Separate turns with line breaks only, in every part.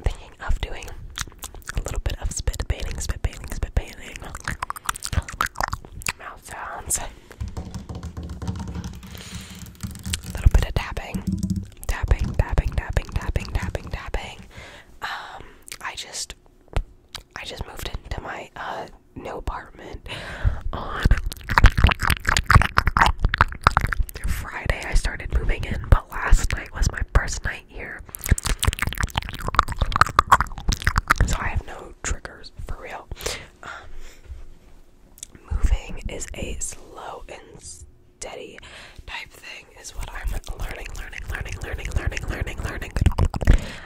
Thinking of doing a little bit of spit painting, spit painting, spit painting. Mouth sounds. A little bit of tapping. Tapping, tapping, tapping, tapping, tapping, Um, I just I just moved into my uh new apartment on Friday. I started moving in, but last night was my first night here. So I have no triggers for real. Um, moving is a slow and steady type thing, is what I'm learning, learning, learning, learning, learning, learning, learning.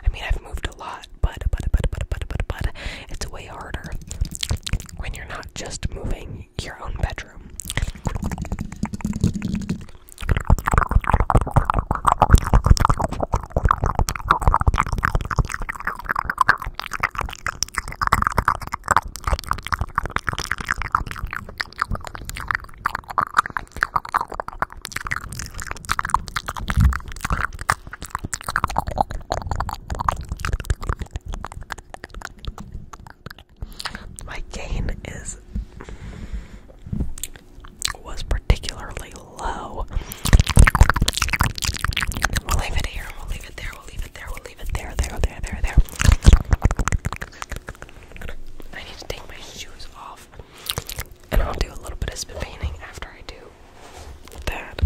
I mean, I've moved a lot but, but, but, but, but, but, but, it's way harder when you're not just moving your own bedroom. My gain is was particularly low. We'll leave it here. We'll leave it there. We'll leave it there. We'll leave it there. There. There. There. There. I need to take my shoes off, and I'll do a little bit of spit after I do that.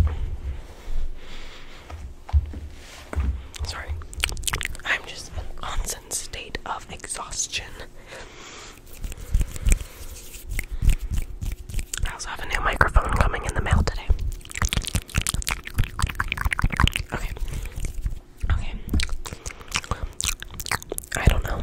Sorry. I'm just in a constant state of exhaustion. I also have a new microphone coming in the mail today. Okay. Okay. I don't know.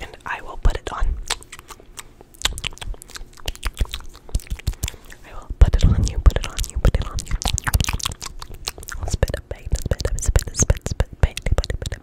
And I will put it on. I will put it on you, put it on you, put it on you. I'll spit up, bait, spit up, spit up, spit, spit, bait, put it, put it,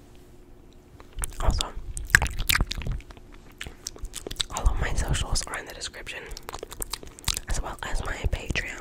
also, all of my socials are in the description, as well as my Patreon,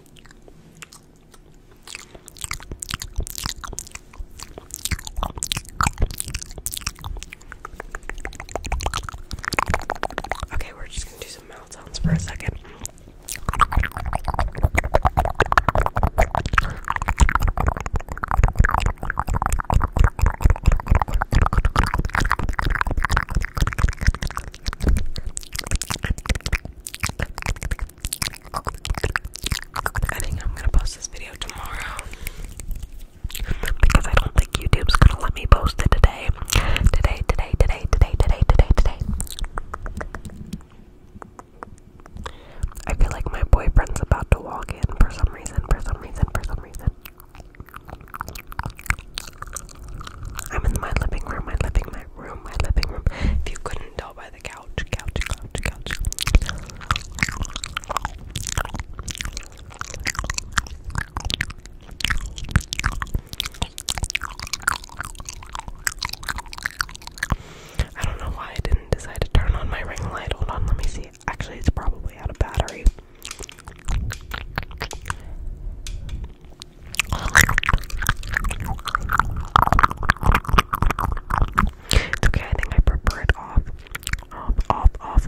Okay, we're just gonna do some mouth sounds for a second. I think I'm gonna post this video tomorrow because I don't think YouTube's gonna let me post it today. Today, today, today, today, today, today, today. I feel like my boyfriend's about to walk in for some reason, for some reason, for some reason. I'm in my living room, my living my room, my living room. If you couldn't tell by the couch, couch, couch, couch. I don't know why I didn't decide to turn on my ring light. Hold on, let me see. Actually, it's probably out of battery. It's okay, I think I prefer it off. Off, off, off.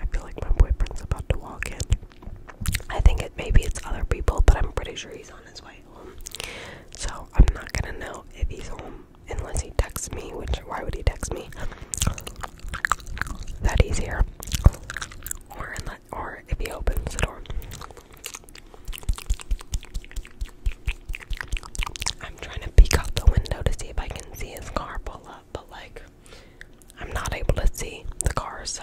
I feel like my boyfriend's about to walk in. I think it maybe it's other people, but I'm pretty sure he's on his way home. So I'm not gonna know if he's home unless he texts me, which why would he text me? That he's here or if he opens the door. I'm trying to peek out the window to see if I can see his car pull up, but like I'm not able to see the car, so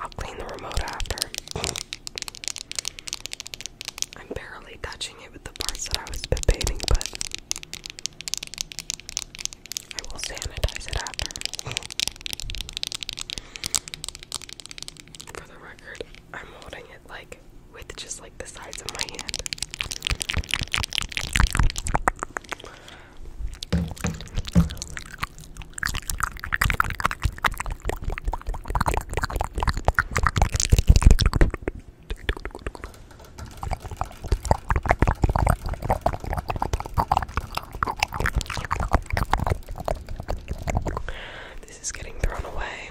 I'll clean the remote after. I'm barely touching it with the parts that I was debating, but I will sanitize it after. For the record, I'm holding it like with just like the size of my hand. This is getting thrown away.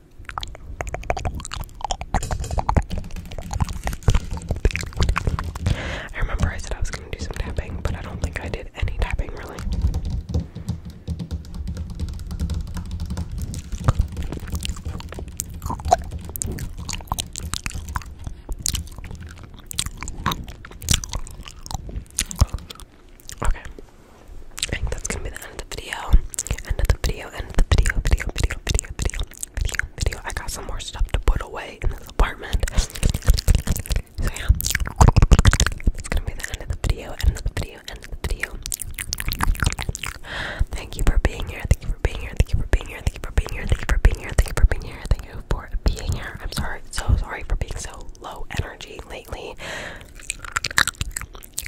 I remember I said I was gonna do some tapping, but I don't think I did any tapping really. Okay. I think that's gonna be the end of the video, end of the video, end of the video, video, video, video, video, video, video. I got some more stuff to put away in this apartment. So yeah, it's gonna be the end of the video, end of the video, end of the video. Thank you for being here. Thank you for being here. Thank you for being here. Thank you for being here. Thank you for being here. Thank you for being here. Thank you for being here. I'm sorry, so sorry for being so low energy lately.